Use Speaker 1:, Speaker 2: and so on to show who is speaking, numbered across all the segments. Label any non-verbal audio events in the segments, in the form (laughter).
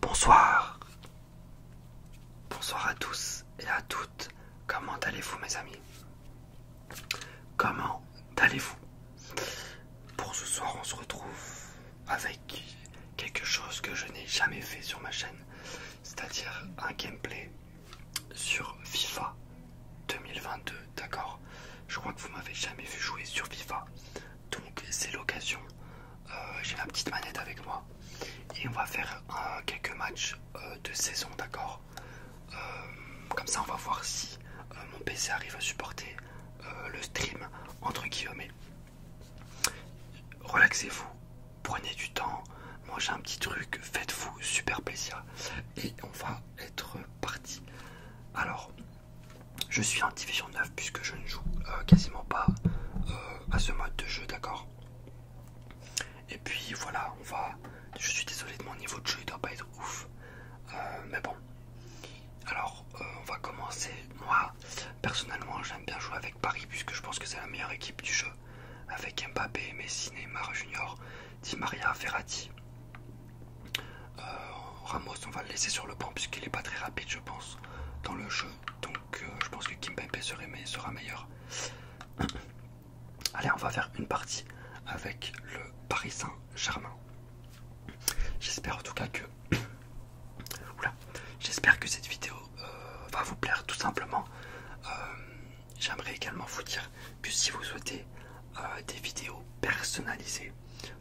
Speaker 1: Bonsoir. Bonsoir à tous et à toutes. Comment allez-vous mes amis Comment allez-vous Pour ce soir on se retrouve avec quelque chose que je n'ai jamais fait sur ma chaîne, c'est-à-dire un gameplay sur FIFA 2022, d'accord Je crois que vous m'avez jamais vu jouer sur FIFA donc c'est l'occasion. Euh, j'ai ma petite manette avec moi et on va faire quelques matchs euh, de saison, d'accord euh, Comme ça, on va voir si mon PC arrive à supporter le stream entre guillemets. Relaxez-vous, prenez du temps, mangez un petit truc, faites-vous super plaisir et on va être parti. Alors, je suis en division 9 puisque je ne joue euh, quasiment pas euh, à ce mode de jeu, d'accord Et puis voilà, on va. Je suis désolé de mon niveau de jeu, il doit pas être ouf. Euh, mais bon. Alors, on va commencer. Moi, personnellement, j'aime bien jouer avec Paris puisque je pense que c'est la meilleure équipe du jeu. Avec Mbappé, Messine, Neymar Junior, Di Maria, Ferrati. Euh, Ramos, on va le laisser sur le banc puisqu'il n'est pas très rapide, je pense, dans le jeu. Donc, euh, je pense que Kim serait, sera meilleur. (clears throat) Allez, on va faire une partie avec le Paris Saint-Germain. J'espère en tout cas que... (clears throat) J'espère que cette vidéo euh, va vous plaire tout simplement. J'aimerais également vous dire que si vous souhaitez des vidéos personnalisées,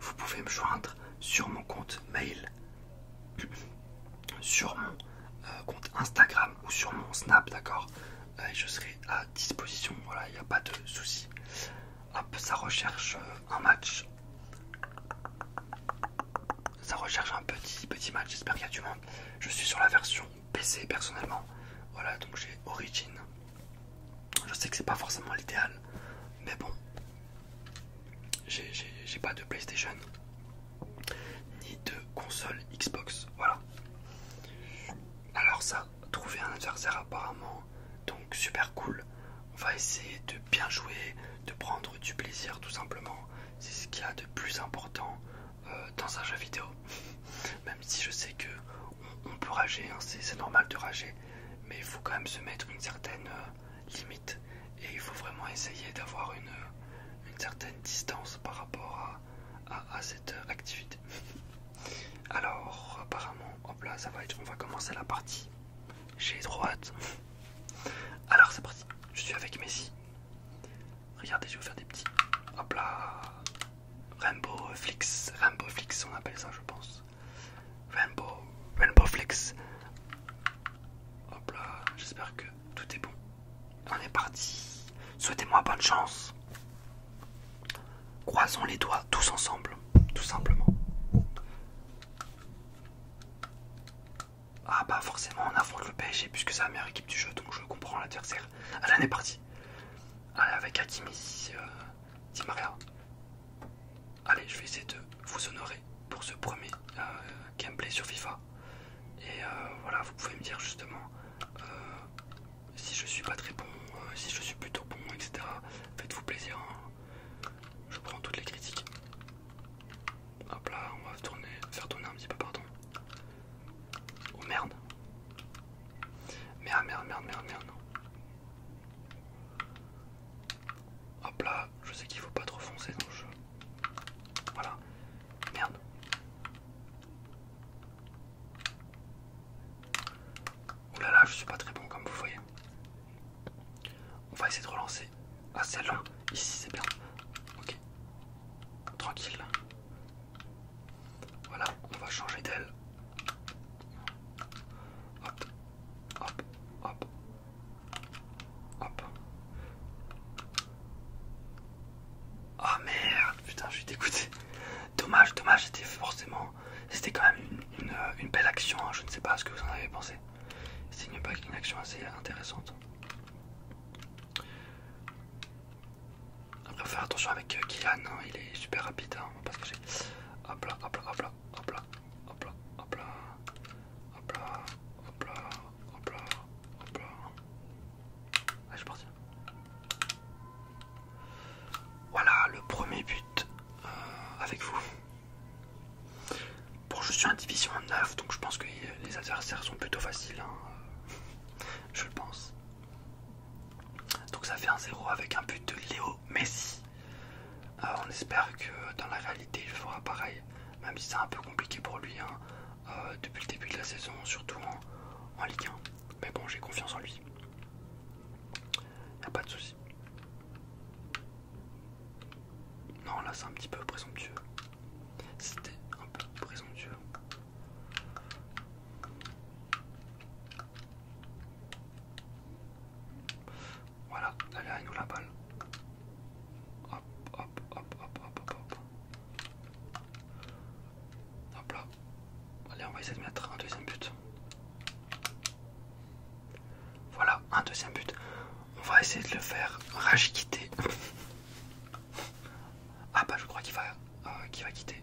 Speaker 1: vous pouvez me joindre sur mon compte mail sur mon euh, compte Instagram ou sur mon Snap, d'accord euh, Je serai à disposition, voilà, il n'y a pas de souci. Hop, ça recherche euh, un match. Ça recherche un petit petit match, j'espère qu'il y a du monde. Je suis sur la version PC personnellement. Voilà, donc j'ai Origin. Je sais que c'est pas forcément l'idéal, mais bon, j'ai pas de PlayStation ni de console Xbox. Voilà. Alors ça, trouver un adversaire apparemment, donc super cool. On va essayer de bien jouer, de prendre du plaisir tout simplement. C'est ce qu'il y a de plus important euh, dans un jeu vidéo. (laughs) Même si je sais que on, peut rager, hein, c'est normal de rager, mais il faut quand même se mettre une certaine euh, limite et il faut vraiment essayer d'avoir une, euh, certaine distance par rapport à, cette euh, activité. (laughs) Alors apparemment, hop là, ça va être, on va commencer la partie. J'ai droite (laughs) Alors c'est parti, je suis avec Messi. Regardez, je vais vous faire des petits. Hop là. Rainbow Flix, Rainbow Flix on appelle ça je pense. Rainbow, Flex. Hop là, j'espère que tout est bon. On est parti. Souhaitez-moi bonne chance. Croisons les doigts tous ensemble, tout simplement. Ah bah forcément on affronte le PSG puisque c'est la meilleure équipe du jeu donc je comprends l'adversaire. Allez on est parti. Allez avec Hakimi, euh, allez, je vais essayer de vous honorer pour ce premier euh, gameplay sur FIFA. Et euh, voilà, vous pouvez me dire justement euh, si je suis pas très bon, si je suis plutôt bon, etc. Faites-vous plaisir. Hein. Je prends toutes les critiques. Hop là, on va faire tourner un petit peu, pardon. Oh merde. Merde, merde, merde, merde, merde. Hop là, je sais qu'il faut pas trop foncer donc je. Voilà. Merde. oulala là là, je suis pas très bon comme vous voyez. On va essayer de relancer. Ah celle-là, ici c'est bien. Ok. Tranquille. Voilà, on va changer d'elle. Hop, hop, oh merde, putain, je suis dégoûté. Dommage, dommage, c'était forcément. C'était quand même une, euh, belle action, hein. je ne sais pas ce que vous en avez pensé. C'est une, action assez intéressante. Après, va faire attention avec euh, Kylian, hein. il est super rapide. Hein on va pas se cacher. Hop là, hop là, hop là, hop là, hop là, hop là, hop là, hop là, hop là, hop là. Ah, je vais partir. Voilà le premier but euh, avec vous. Bon, je suis en division 9, donc je pense que les adversaires sont plutôt faciles. Hein. (laughs) Je le pense. Donc ça fait un 0 avec un but de Léo Messi. Euh, on espère que dans la réalité il fera pareil, même si c'est un peu compliqué pour lui hein, euh, depuis le début de la saison, surtout en, Ligue 1. Mais bon, j'ai confiance en lui. n'y a pas de souci. Non, là c'est un petit peu présomptueux. C'était un peu présomptueux. Voilà, allez, nous la balle. Hop, hop, hop, hop, hop, hop, hop. Hop là. Allez, on va essayer de mettre un deuxième but. Voilà, un deuxième but. On va essayer de le faire rage (laughs) ah bah je crois qu'il va euh, qui va quitter.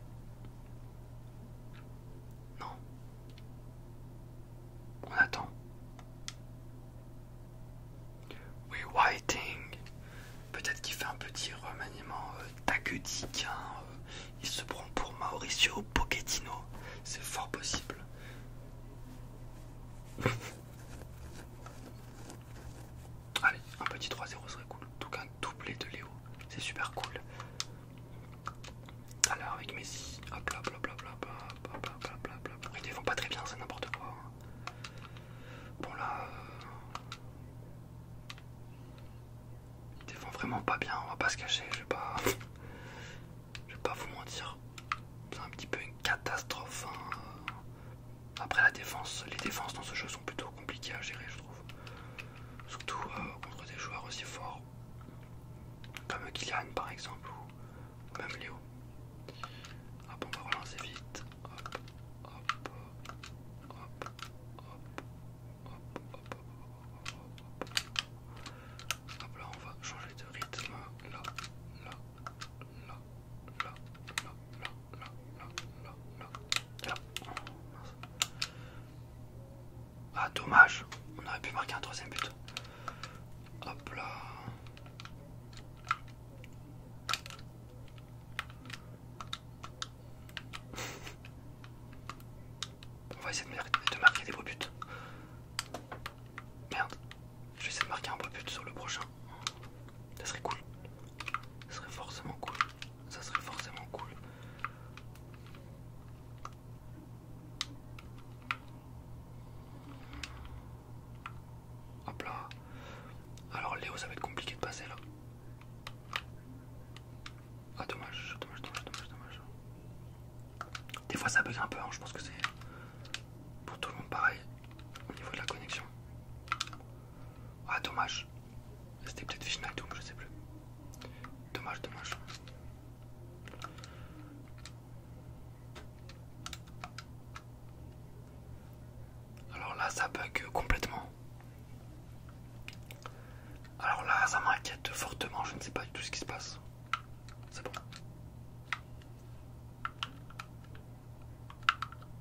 Speaker 1: Non. On attend. we waiting. Peut-être qu'il fait un petit remaniement euh, tactique. Hein, euh. il se prend pour Mauricio Pochettino. C'est fort possible. (laughs) Allez, un petit 3-0 serait cool. tout cas, un doublé de Léo. C'est super cool. Alors avec Messi, il hop bla pas très bien, c'est n'importe quoi. Hein. Bon là, il euh, ils vraiment pas bien. On va pas se cacher, je vais pas, (laughs) je vais pas vous mentir. C'est un petit peu une catastrophe. Hein. Après la défense, les défenses dans ce jeu plutôt compliqués à gérer, je trouve. Surtout euh, contre des joueurs aussi forts comme Kylian par exemple ou même Léo. Hop, ah on va relancer vite. Hop, hop, hop, hop, hop, hop, hop, hop. Hop là, on va changer de rythme. Là, là, là, là, là, là, là, là, là, là. là. Ah dommage, on aurait pu marquer un troisième but. Hop là. (laughs) on va essayer de, marquer des beaux buts. Merde, je vais essayer de marquer un beau but sur le prochain. Ça serait cool. Ça serait forcément cool ça serait forcément cool. Hop là. Alors Léo, ça va être compliqué de passer là. Ah dommage, dommage, dommage, dommage, Des fois ça bug un peu, hein. je pense que c'est pour tout le monde pareil au niveau de la connexion. Ah dommage. C'était peut-être Final Doom, je sais plus. Dommage, dommage. Alors là, ça bug complètement. Alors là, ça m'inquiète fortement. Je ne sais pas du tout ce qui se passe. C'est bon.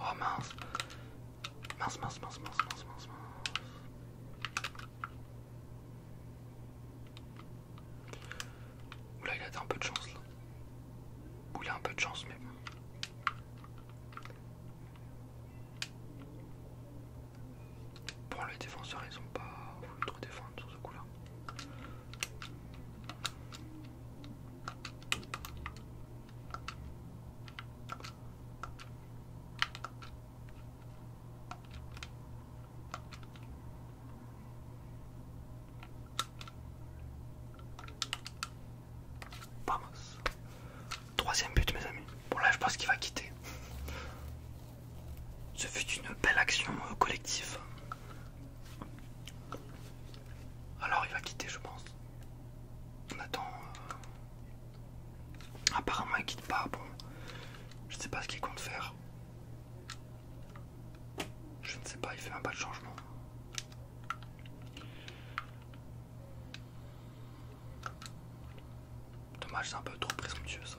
Speaker 1: Oh mince. Mince, mince, mince, mince, mince, mince, mince. Oula, il a un peu de chance là. Oula, un peu de chance même. Bon, les défenseurs ils ont pas voulu trop défendre sur ce coup là. Troisième but mes amis. Bon là je pense qu'il va quitter. Ce fut une belle action euh, collective. Alors il va quitter, je pense. On attend. Euh, apparemment, il quitte pas. Bon, je sais pas ce qu'il compte faire. Je ne sais pas, il fait un pas de changement. Dommage, c'est un peu trop présomptueux ça.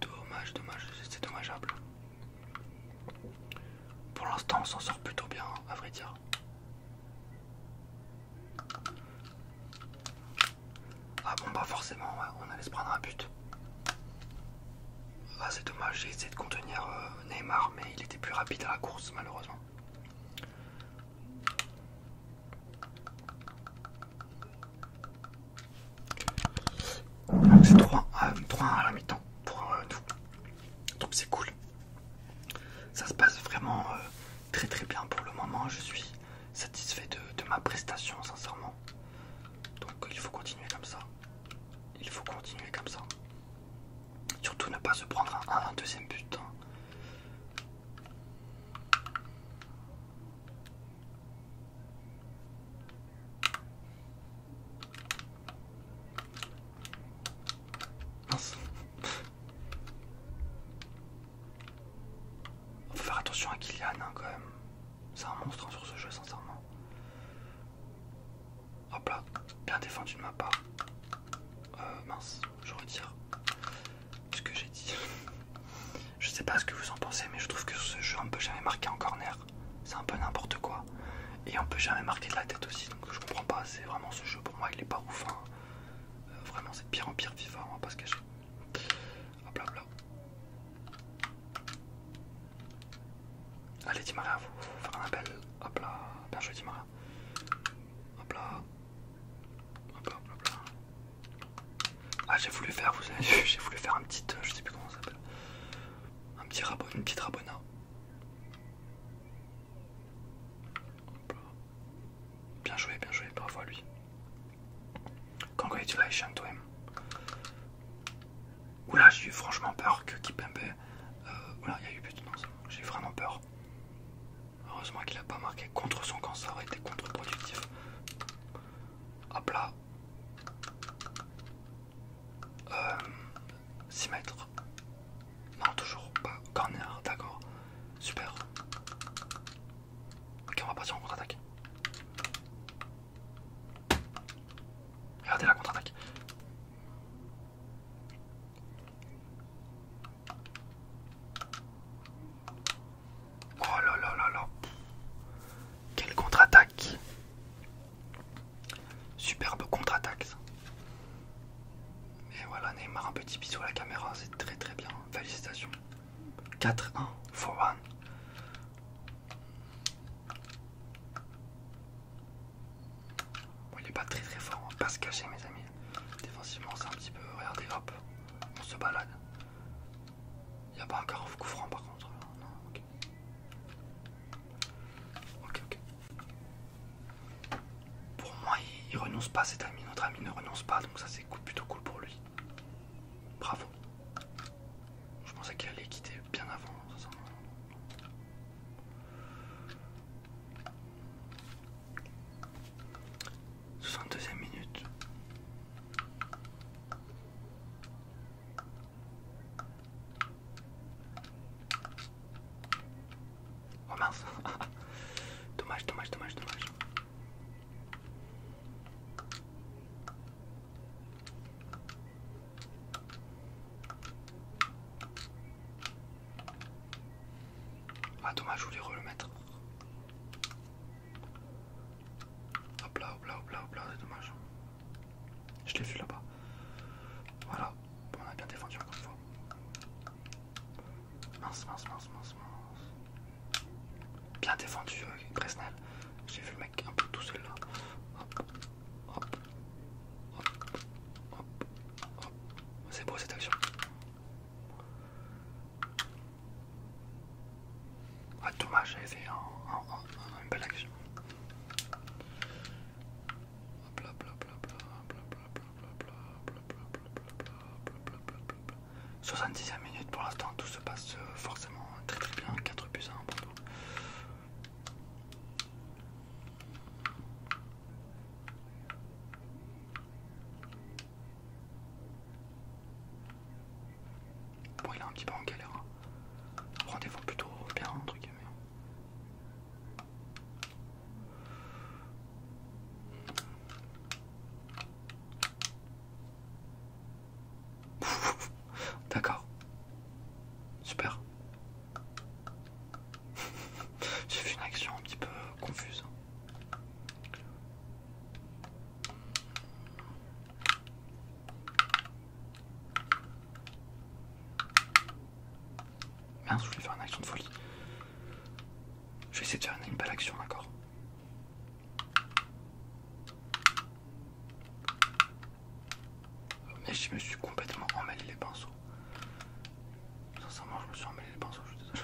Speaker 1: Dommage, dommage, c'est dommageable. Pour l'instant, on s'en sort plutôt bien, hein, à vrai dire. Ah bon, bah forcément, on allait se prendre un but. Ah, c'est dommage, j'ai essayé de contenir euh, Neymar, mais il était plus rapide à la course, malheureusement c'est 3, euh, à la mi-temps pour euh, nous. Donc c'est cool. Ça se passe vraiment euh, très très bien pour le moment. Je suis satisfait de, ma prestation sincèrement. Donc il faut continuer comme ça. Il faut continuer comme ça. Surtout ne pas se prendre un, deuxième but. Hein. Mince. Faut faire attention à Kylian hein, quand même. C'est un monstre hein, sur ce jeu sincèrement. Hop là, bien défendu de ma part. Euh, mince, je retire ce que j'ai dit. Je sais pas ce que vous en pensez, mais je trouve que ce jeu on peut jamais marquer en corner. C'est un peu n'importe quoi. Et on peut jamais marquer de la tête aussi, donc je comprends pas. C'est vraiment ce jeu pour moi, il est pas ouf. Hein. Euh, vraiment, c'est pire en pire FIFA, on va pas se cacher. Hop là, hop là. Allez, Dimara, vous faire un appel. Hop là, bien joué, Maria. Hop là, ah j'ai voulu faire, vous avez vu, (laughs) j'ai voulu faire un petit, euh, je sais plus comment ça s'appelle, un petit rabon, une petite rabona. Bien joué, bien joué, bravo à lui. Congratulations to him. Oula, j'ai eu franchement peur que Kipembe... Euh, oula, il y a eu but, non, j'ai eu vraiment peur. Heureusement qu'il a pas marqué contre son camp, ça aurait été contre-productif. Hop là. 6 euh, mètres. Non, toujours pas. Corner, d'accord. Super. Ok, on va partir en contre-attaque. Regardez la contre-attaque. Oh là là là là. Quelle contre-attaque. Superbe contre-attaque. Et voilà Neymar, un petit bisou à la caméra, c'est très très bien. Félicitations. 4-1, 4 one. il est pas très très fort, on hein. va pas se cacher mes amis. Défensivement c'est un petit peu... Regardez, hop, on se balade. Il n'y a pas encore un coup franc par contre. Non, ok. Ok, ok. Pour moi, il, renonce pas cet ami. Notre ami ne renonce pas, donc ça c'est plutôt cool pour lui. Bravo. Je pensais qu'il allait quitter bien avant. Ça, 62e minute. Oh mince (laughs) Dommage, dommage, dommage, dommage. Ah dommage, je voulais le mettre. Hop là, hop là, hop là, c'est dommage. Je l'ai vu là-bas. Voilà, on a bien défendu encore une fois. Mince, mince, mince, mince, mince. Bien défendu, très euh, Gresnel. J'ai vu le mec un peu tout seul là. Hop, hop, hop, hop, hop. C'est beau cette action. Ah, dommage, j'ai essayé une belle action. 70ème minute pour l'instant, tout se passe forcément très très bien. 4 plus 1 Bon, il a un petit peu en galère. Hein. Rendez-vous plutôt bien, entre guillemets. D'accord. Super. (laughs) J'ai fait une action un petit peu confuse. Mince, je vais faire une action de folie. Je vais essayer de faire une belle action, d'accord oh, Mais je me suis complètement emmêlé les pinceaux. Sincèrement, je me suis emmêlé les pinceaux, je suis désolé.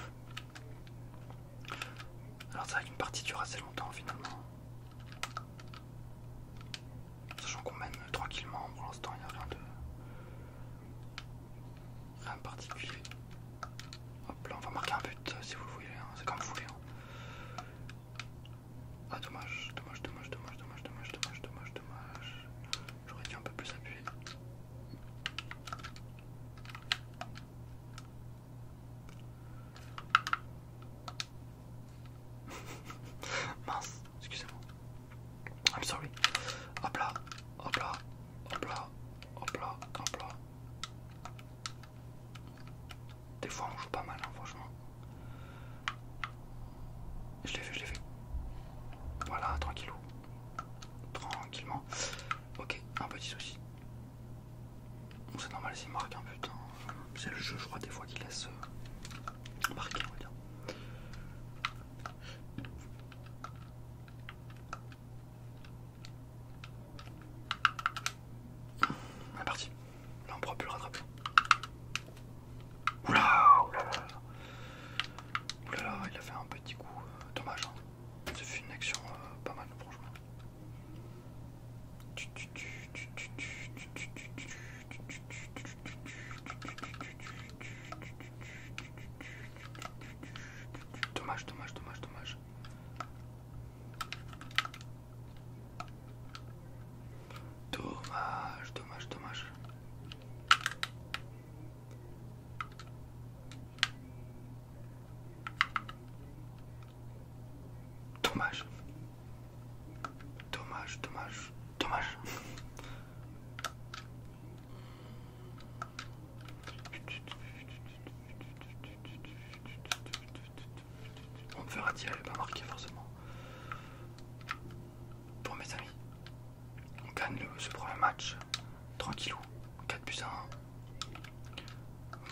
Speaker 1: Alors c'est vrai qu'une partie dure assez longtemps finalement. Sachant qu'on mène tranquillement, pour l'instant il n'y a rien de... rien particulier. Hop là, on va marquer un but euh, si vous le voulez, hein. c'est comme vous voulez. Hein. Ah dommage, dommage, dommage, dommage, dommage, dommage, dommage, dommage, dommage. J'aurais dû un peu plus appuyer. (laughs) Mince, excusez-moi. I'm sorry. Hop là, hop là, hop là, hop là, hop là. Des fois on joue pas mal, hein, franchement. Je l'ai fait, je l'ai fait. Voilà, tranquillou. Tranquillement. Ok, un petit souci. Bon, c'est normal c'est marqué un hein, C'est le jeu, je crois, des fois qu'il laisse euh, marqué on va dire. On est parti. Là, on pourra plus le rattraper. oula, il a fait un petit coup euh, dommage, hein. une action pas mal, franchement. Dommage, dommage, dommage, dommage. Dommage, dommage, dommage. Dommage. Dommage, dommage, dommage. On me fera dire, elle pas marquée forcément. Pour mes amis. On gagne le, ce premier match tranquillou, 4 buts à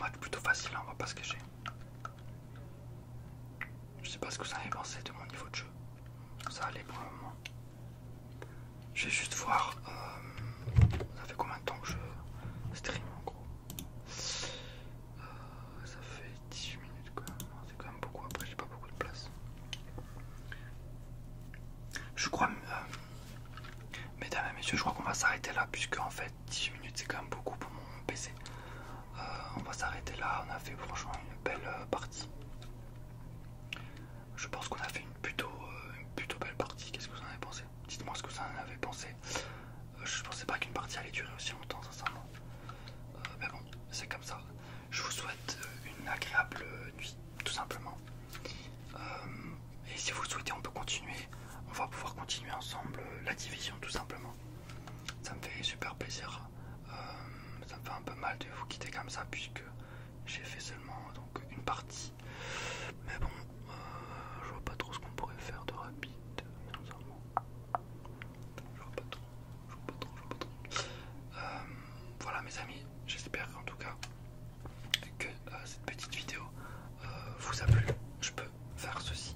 Speaker 1: 1. Match plutôt facile, hein, on va pas se cacher. Je sais pas ce que vous en avez pensé de mon niveau de jeu. Ça allait pour le moment. Je vais juste voir. Euh, ça fait combien de temps que je stream en gros euh, Ça fait 18 minutes quand même. C'est quand même beaucoup. Après, j'ai pas beaucoup de place. Je crois, euh, mesdames et messieurs, je crois qu'on va s'arrêter là puisque en fait 10 minutes c'est quand même beaucoup pour mon PC. Euh, on va s'arrêter là, on a fait franchement une belle euh, partie. Je pense qu'on a fait une plutôt, belle partie. Qu'est-ce que vous en avez pensé Dites-moi ce que vous en avez pensé. Je je pensais pas qu'une partie allait durer aussi longtemps, sincèrement. mais bon, c'est comme ça. Je vous souhaite euh, une agréable euh, nuit, tout simplement. Euh, et si vous le souhaitez, on peut continuer. On va pouvoir continuer ensemble la division, tout simplement. Ça me fait super plaisir. ça me fait un peu mal de vous quitter comme ça, puisque j'ai fait seulement donc une partie. Mais bon, je vois pas trop ce qu'on pourrait faire de rapide. Je vois pas trop. Euh, voilà mes amis, j'espère en tout cas que euh, cette petite vidéo euh, vous a plu. Je peux faire ceci,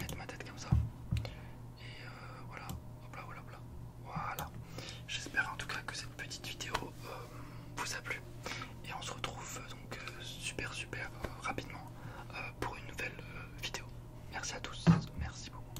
Speaker 1: mettre ma tête comme ça. Et voilà, hop là, voilà, J'espère en tout cas que cette petite vidéo vous a plu. Et on se retrouve donc super super rapidement pour une nouvelle vidéo. Merci à tous, merci beaucoup.